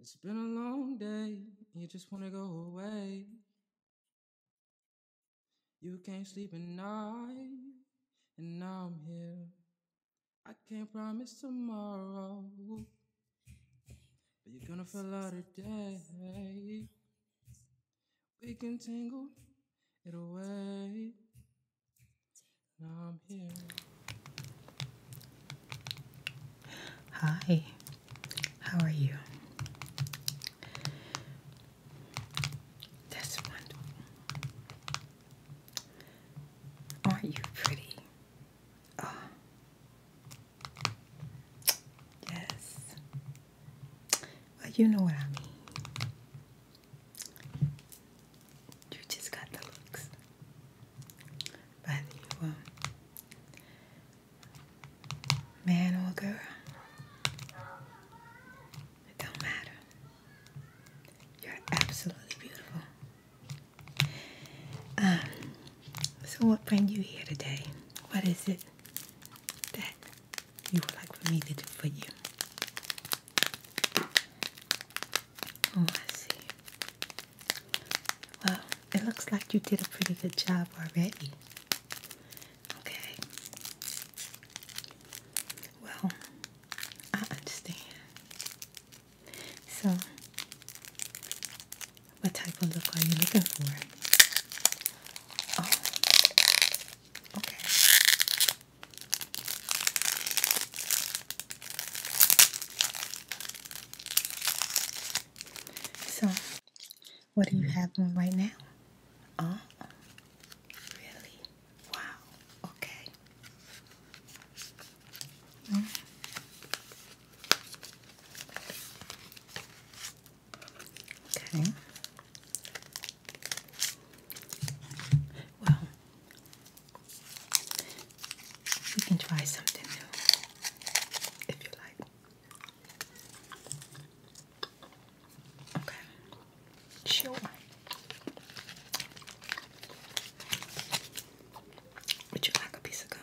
It's been a long day, you just wanna go away. You can't sleep at night, and now I'm here. I can't promise tomorrow, but you're gonna feel out today. We can tangle it away. Now I'm here. Hi, how are you? That's wonderful. Aren't you pretty? Oh. Yes. Well, you know what I mean. You just got the looks. Whether you a um, man or girl, it don't matter. You're absolutely beautiful. Um, so what bring you here today? What is it that you would like for me to do for you? Oh, I see. Well, it looks like you did a pretty good job already. Okay. Well, I understand. So, what type of look are you looking for? Oh, okay. So, what do you have on right now? Oh, really? Wow. Okay. Okay. Well, we can try something new if you like. Okay. Sure. Would you like a piece of gum?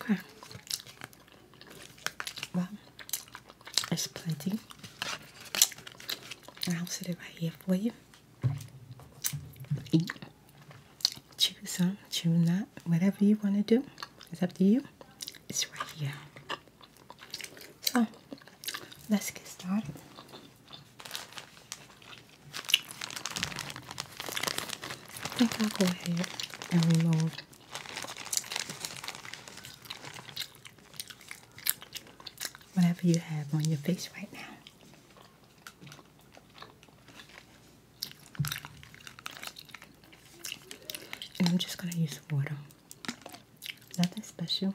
Okay. Well, it's plenty. I'll set it right here for you. Eat. Chew some, chew not, whatever you want to do. It's up to you. It's right here. So let's get started. I think I'll go ahead and remove whatever you have on your face right now. And I'm just going to use water. Nothing special.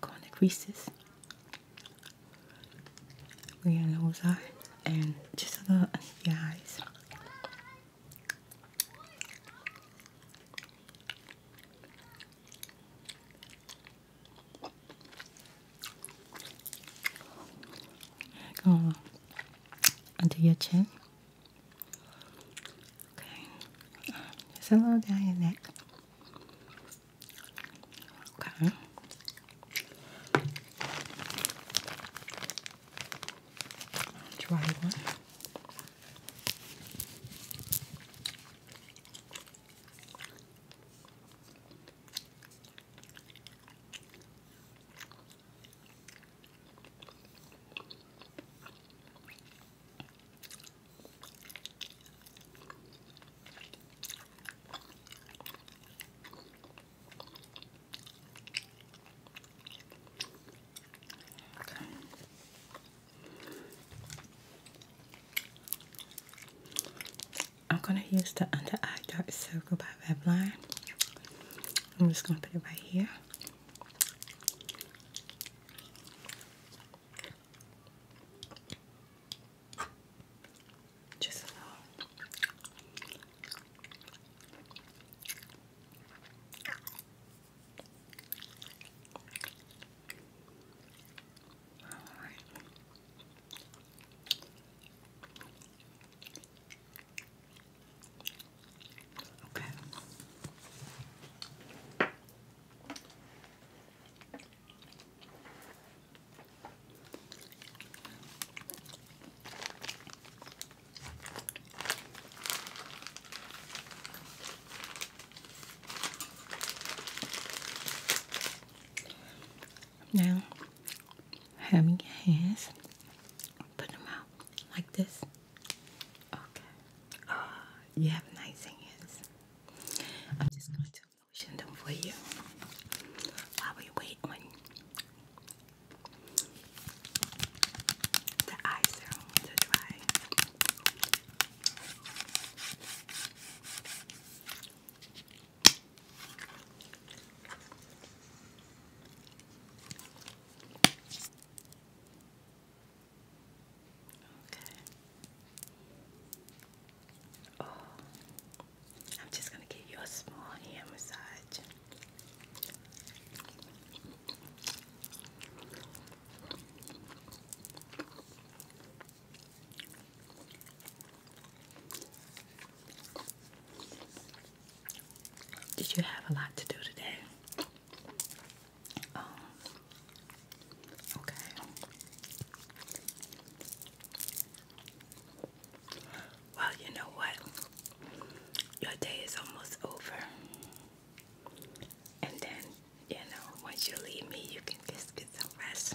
conic Reese's. Where your nose are, and just a little under your eyes. Go onto your chin. Okay. Just a little down your neck. Okay. Dry one. I'm going to use the under eye dark circle by Revlon. I'm just going to put it right here. Just a little. Okay. Now, having your hands, put them out like this. Okay. Uh, you have nice hands. I'm just going to lotion them for you while we wait on the eye to dry. Okay. Oh, I'm just going to give you a small hand massage. Did you have a lot to do today? Oh. okay. Well, you know what? Your day is almost over. And then, you know, once you leave me, you can just get some rest.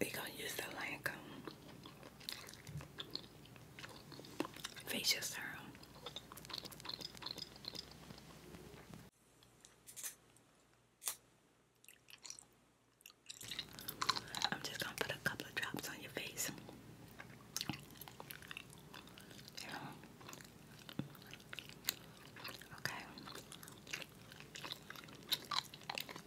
we gonna use the Lancome um, facial serum. I'm just gonna put a couple of drops on your face. Okay.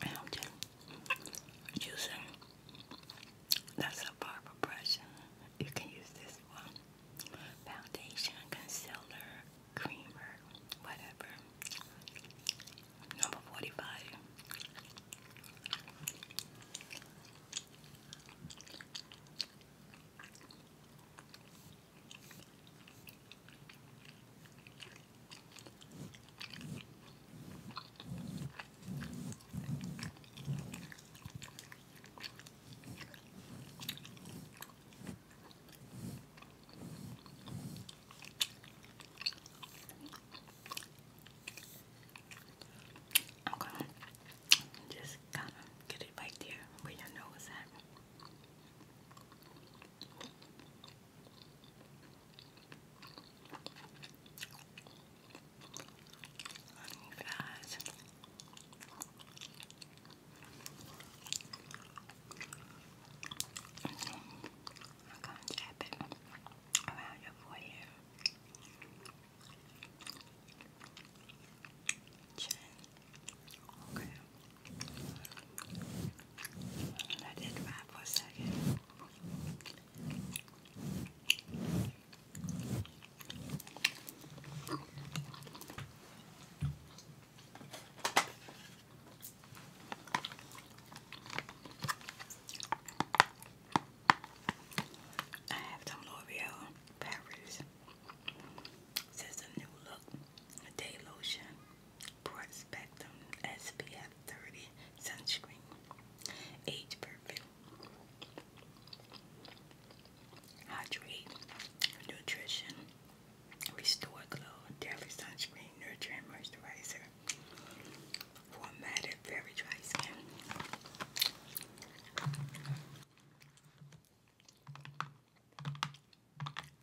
And I'm just using that's a brush. You can use this one. Foundation, concealer, creamer, whatever. Number 45. I'm just kind of get it right there where your nose at. Love you guys. I'm gonna tap it around your forehead, Okay. Let it dry for a second. I have some L'Oreal Paris. This is a new look, day lotion broad spectrum SPF 30 sunscreen, age perfect, hydrate, nutrition, restore glow, daily sunscreen, nurture and moisturizer, for very dry skin.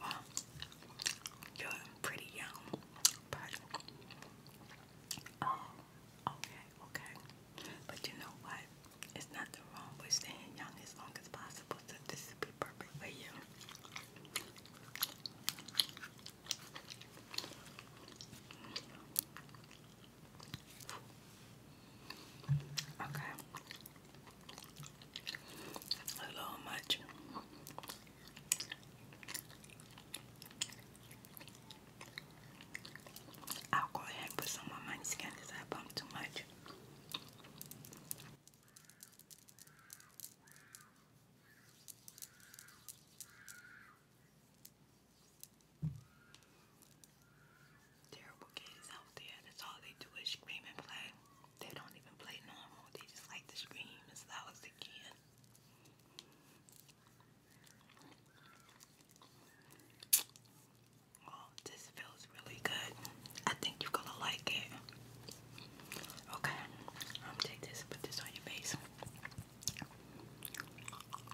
Wow, you're pretty young, but oh, okay, okay. But you know what? It's nothing wrong with staying young as long as possible. So this be perfect for you. Okay. A little much. I'll go ahead and put some on my skin because I bumped too much. Terrible kids out there. That's all they do is scream and play. They don't even play normal. They just like to scream as loud as they can. this feels really good. I think you're gonna like it. Okay, I'm gonna take this and put this on your face.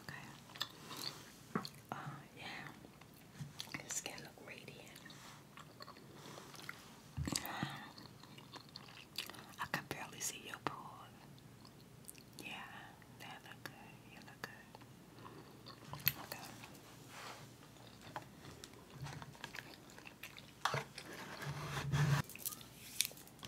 Okay. Uh, yeah. Your skin look radiant. I can barely see your pores. Yeah, that look good. You look good. Okay. Okay.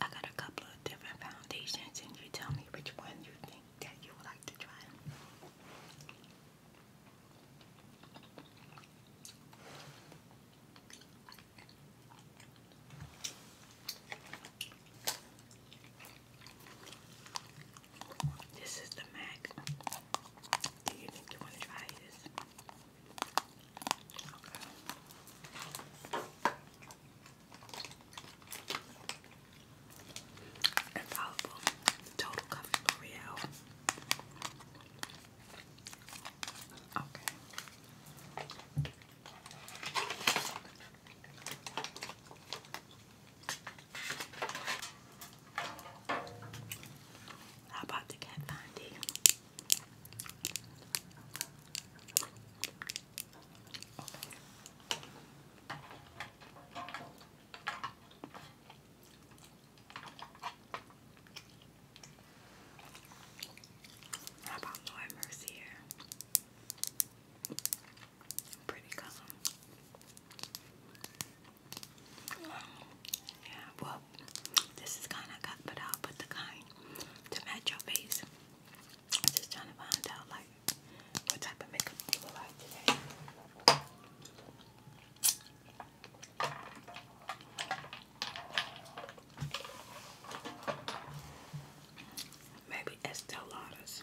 I got a couple of different foundations, and you tell me which one you think that you would like to try. This is the Mac. Do you think you want to try this? Total Coffee L'Oreal. Okay. How about the cat candy? How about Lord Mercier? Pretty common. Yeah, well, this is kind I got, but I'll the kind to match your face. just trying to find out, like, what type of makeup you will like today. Maybe Estee Lauder's.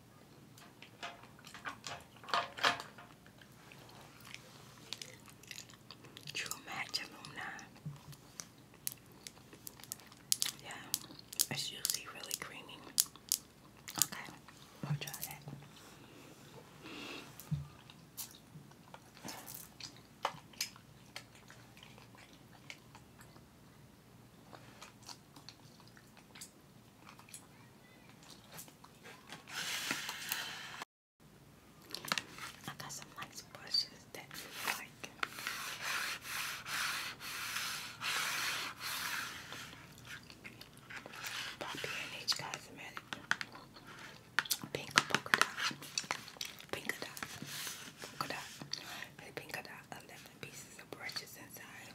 True match alumni. Yeah, it's usually really creamy. Okay, we'll try that. I got some nice brushes that you like. Poppy and H Cosmetic. Pink polka dot. Pink dot. Polka dot. The pink dot. pieces of brushes inside.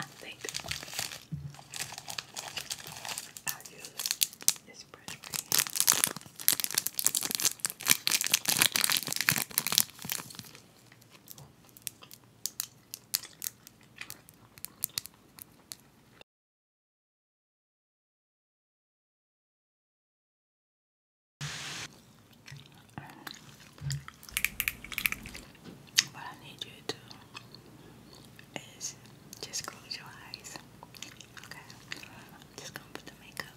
I think I'll use this brush what I need you to do is just close your eyes. Okay. I'm just gonna put the makeup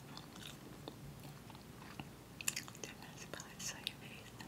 different spots on your face.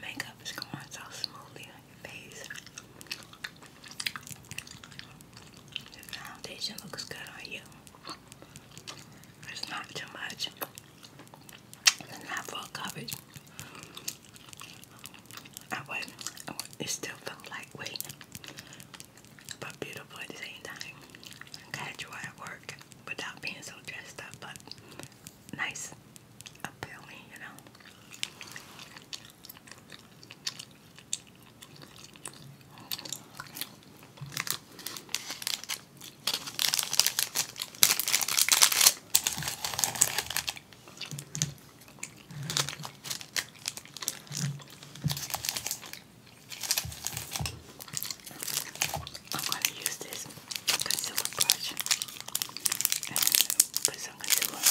Makeup is going so smoothly face. The foundation looks good on you. It's not too much. It's not full coverage. I would, it still felt lightweight, but beautiful at the same time. Catch you at work without being so dressed up, but nice appealing, you know. I'm going to use this concealer brush and put some concealer on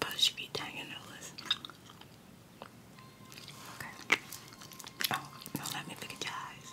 But she be tagging her Okay. Oh, no, let me look at your eyes.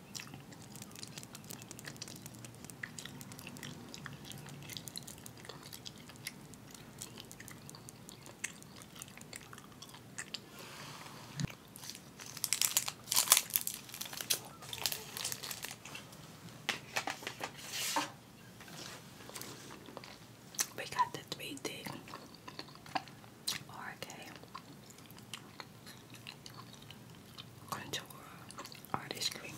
We got the three D RK contour uh, artist cream.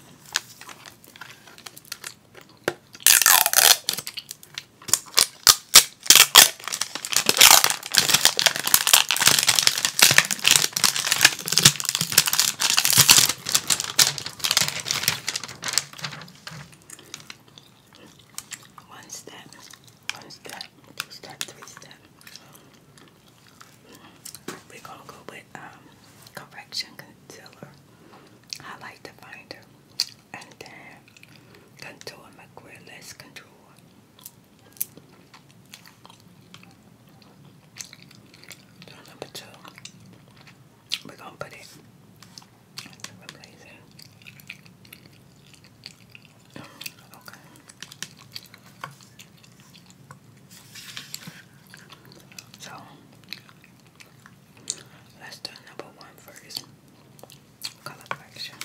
Once that, once that step, three step. We're gonna go with um, correction concealer, highlight definer, and then contour McGuire. contour. number two, we're gonna put it. Okay. So let's do number one first. Color correction.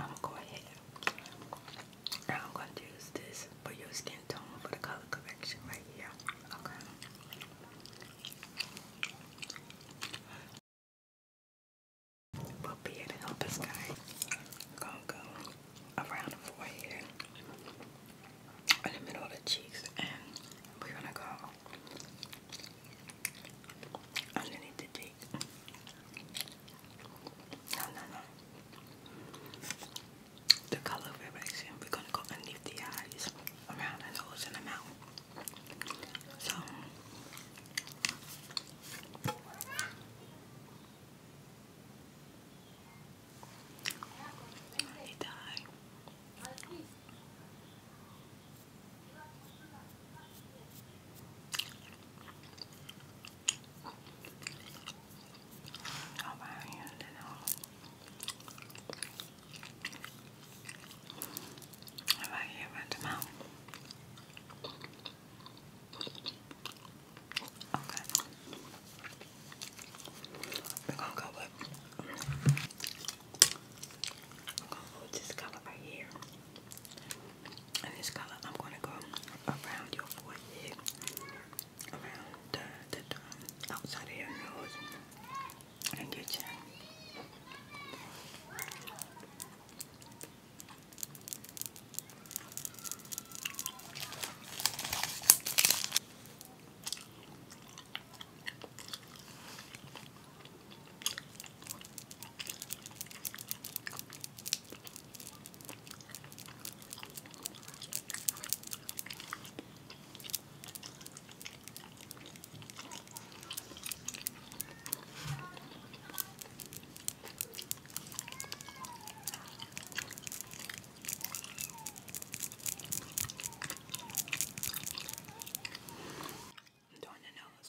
I'm gonna go ahead now I'm going to use this for your skin tone for the color correction right here. Okay. We'll be here to help this guy. Gonna go around the forehead, in the middle of the cheeks, and we're gonna go underneath the cake. No, no, no. The color variation, we're gonna go underneath the eyes, around the nose, and the mouth. So. They die. How about you? How about you? About the mouth? Okay. We're gonna go with we're gonna go with this color right here. And this color, I'm gonna go around your forehead, around the, the, the um, outside of your nose, and your chin. I'm doing the nose.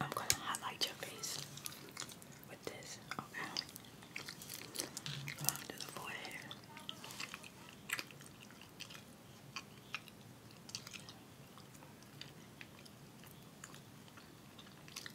I'm going to highlight your face with this, okay? Going to the forehead.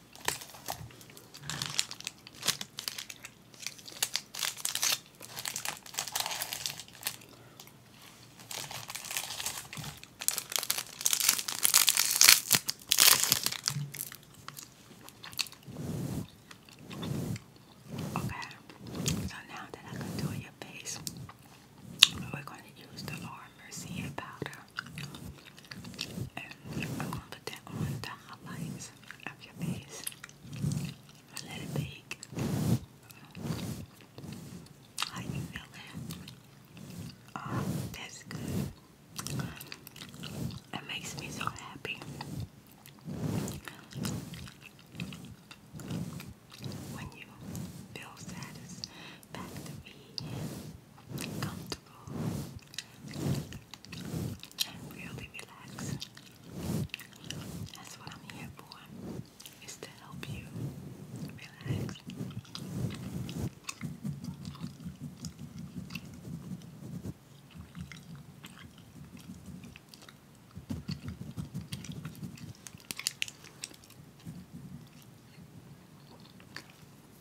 Okay, so now that I contour your face, we're going to use the Laura Mercier powder. And I'm gonna put that on the highlights of your face. And How you feeling? Oh, that's good. It makes me so happy. When you feel satisfied, back me comfortable, really relaxed. That's what I'm here for, is to help you relax.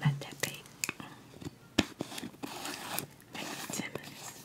Let that be. Maybe 10 minutes.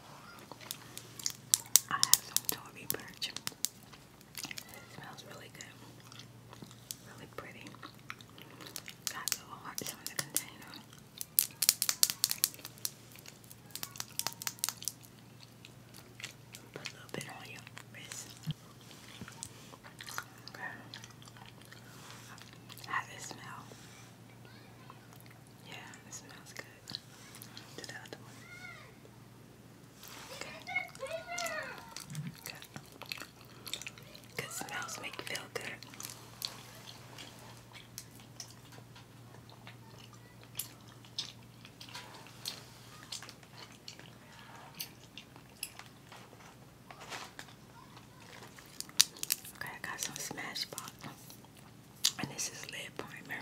I have some Tory Birch. It smells really good. Really pretty. Got little hearts on the container. Put a little bit on your wrist. Okay. How does it smell? Yeah, it smells good to Okay. smells make you feel good. Okay, I got some Smashbox, and this is lip primer.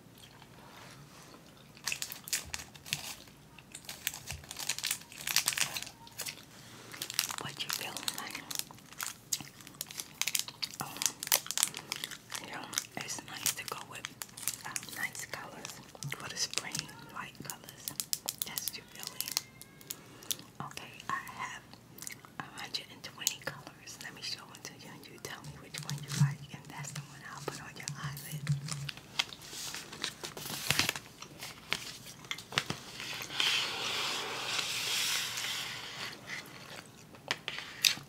What you feeling um, you know, it's nice to go with um, nice colors for the spring, light colors. That's your feeling. Okay, I have 120 colors. Let me show them to you and you tell me which one you like that's the one I'll put on your eyelid.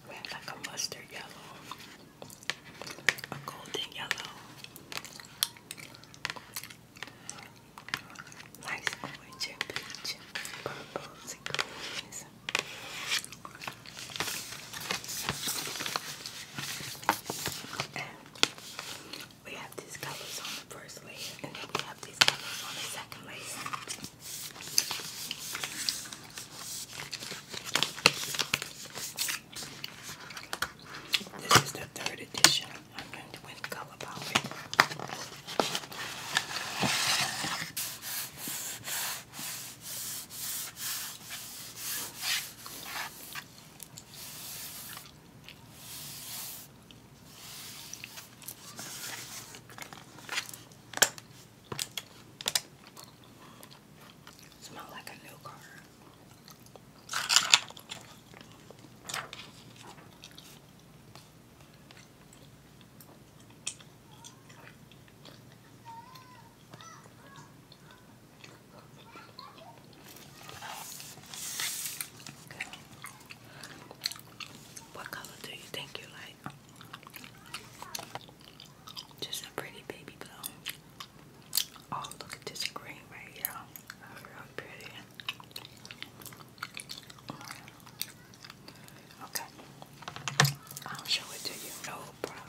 We have like a mustard yellow, a golden yellow, nice orange peach, purples and greens we have these colors on the first layer, and we have these colors on the second layer. This is the third edition. I'm going to win color palette. Smell like a new car. What color do you think you like? Just a pretty baby blue. Oh, look at this green right here. That's pretty. Okay. I'll show it to you. No problem.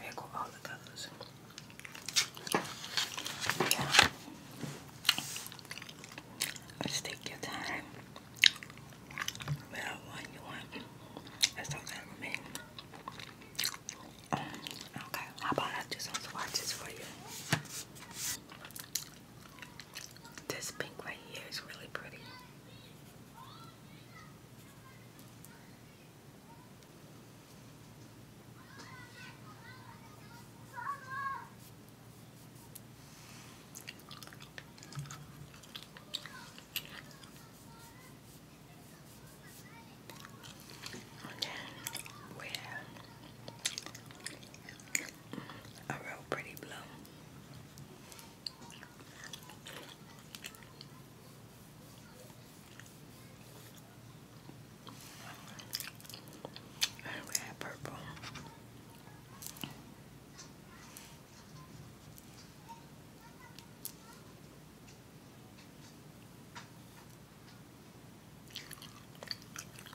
There go all the colors. Yeah. let take your time. Whatever one you want. That's all that remains. Um, okay, how about I do some swatches for you? This pink right here is really pretty. And then a real pretty blue. And red purple.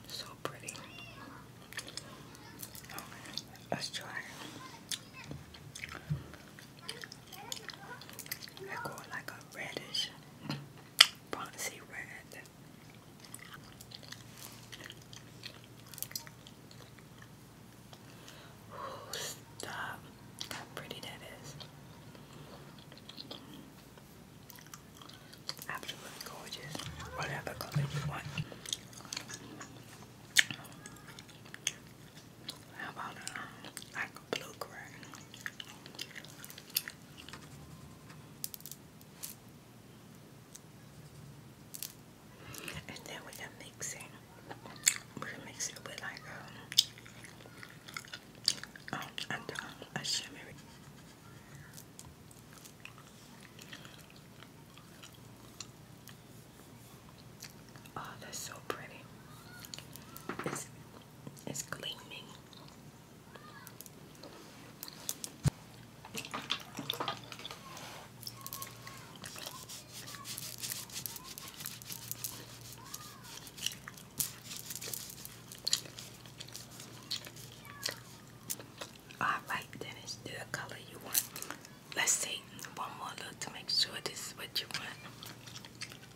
So pretty. Okay, let's try they're like a reddish, bronzy red. Oh, stop. How pretty that is. Absolutely gorgeous. Whatever color you want. How about uh, like a blue gray? And then we can mix We mix it with like um, um, a, um, a shimmery. Oh, that's so pretty. It's it's gleaming. All right, then it's the color you want. Let's take one more look to make sure this is what you want. Okay.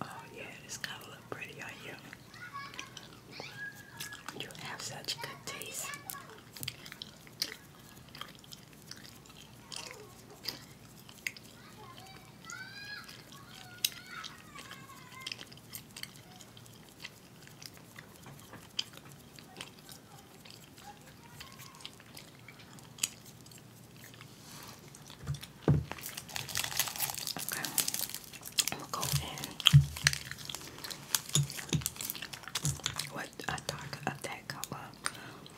Oh yeah, it's gonna look pretty on you. You have such good taste. Okay, I'm gonna go in with a dark of that color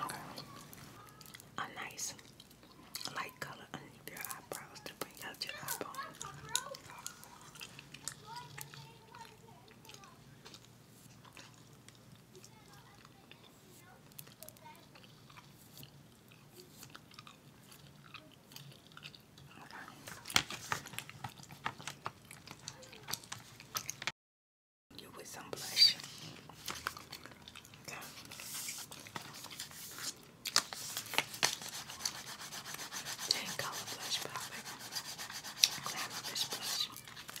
Okay. A nice light color underneath your eyebrows to bring out your eyeball. You with some blush. Okay. Ten color blush, probably. Glamorous blush.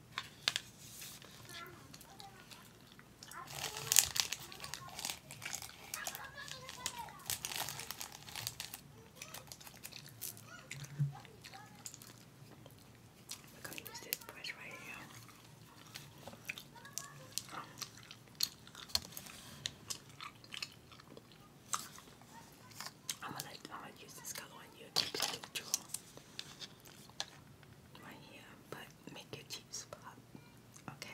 We're going to use this brush right here. Oh. I'm gonna, I'm gonna use this color on you to draw right here, but make your cheeks pop. Okay.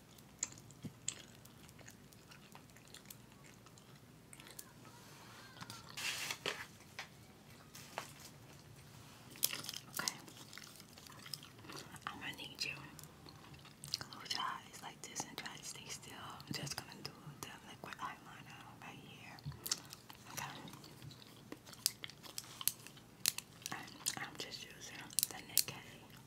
Okay. I'm gonna need you. Close your eyes like this and try to stay still. I'm just gonna do the liquid eyeliner right here. Okay. I'm just using the Nikkei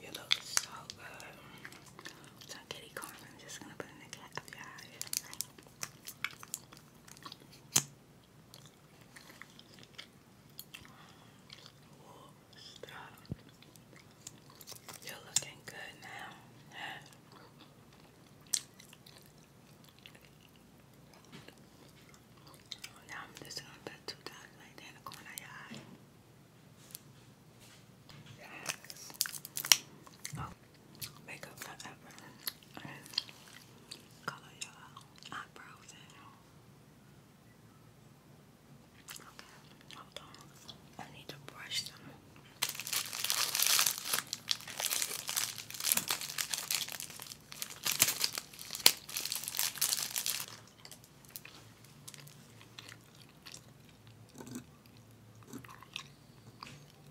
You look so good. So, Kitty Corn, I'm just gonna put in the cat of your eyes. Oh, You're looking good now. Now I'm just gonna let two dots right there in the corner of your eye. Yes. Oh. Makeup forever. color your eyebrows Okay, hold on. I need to brush them.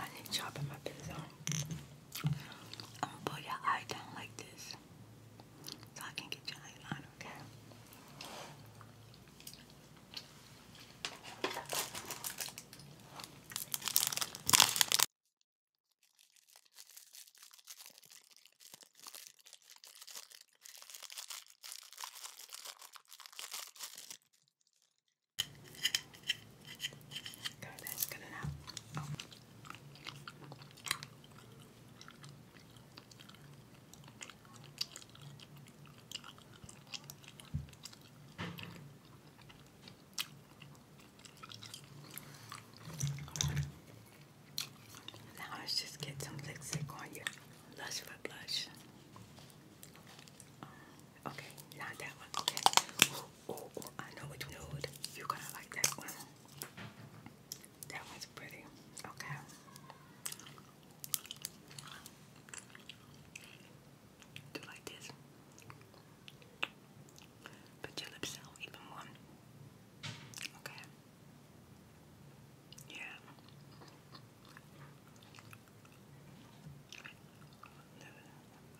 I need chopping my pencil. I'm gonna pull your eye down like this so I can get your eyeliner, okay? Good, that's good enough. Oh. Now let's just get some lipstick on you. Blush for blush. Um, okay, not that one. Okay. Ooh, I know which nude. You're gonna like that one. That one's pretty. Okay. Do like this. Put your lips out even more. Okay. Yeah.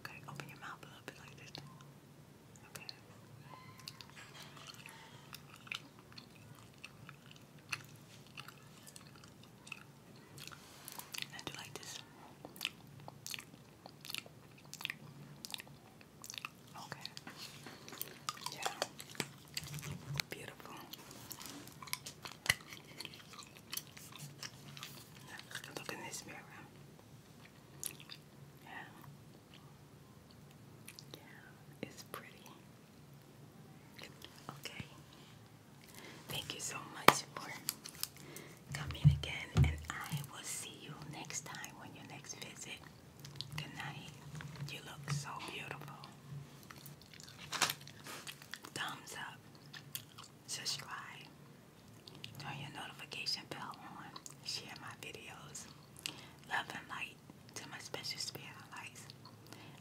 Okay, open your mouth a little bit like this. Okay. do like this. Okay. Yeah. Beautiful. Look in this mirror. Yeah. Yeah, it's pretty. Okay. Thank you so much for coming again, and I will see you next time when your next visit. Good night. You look so beautiful. Thumbs up, subscribe, turn your notification bell on, share my videos. Love and light to my special spirit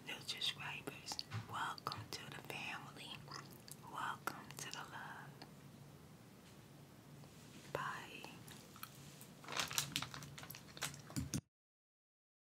New subscribers, welcome to the family. Welcome to the love. Bye.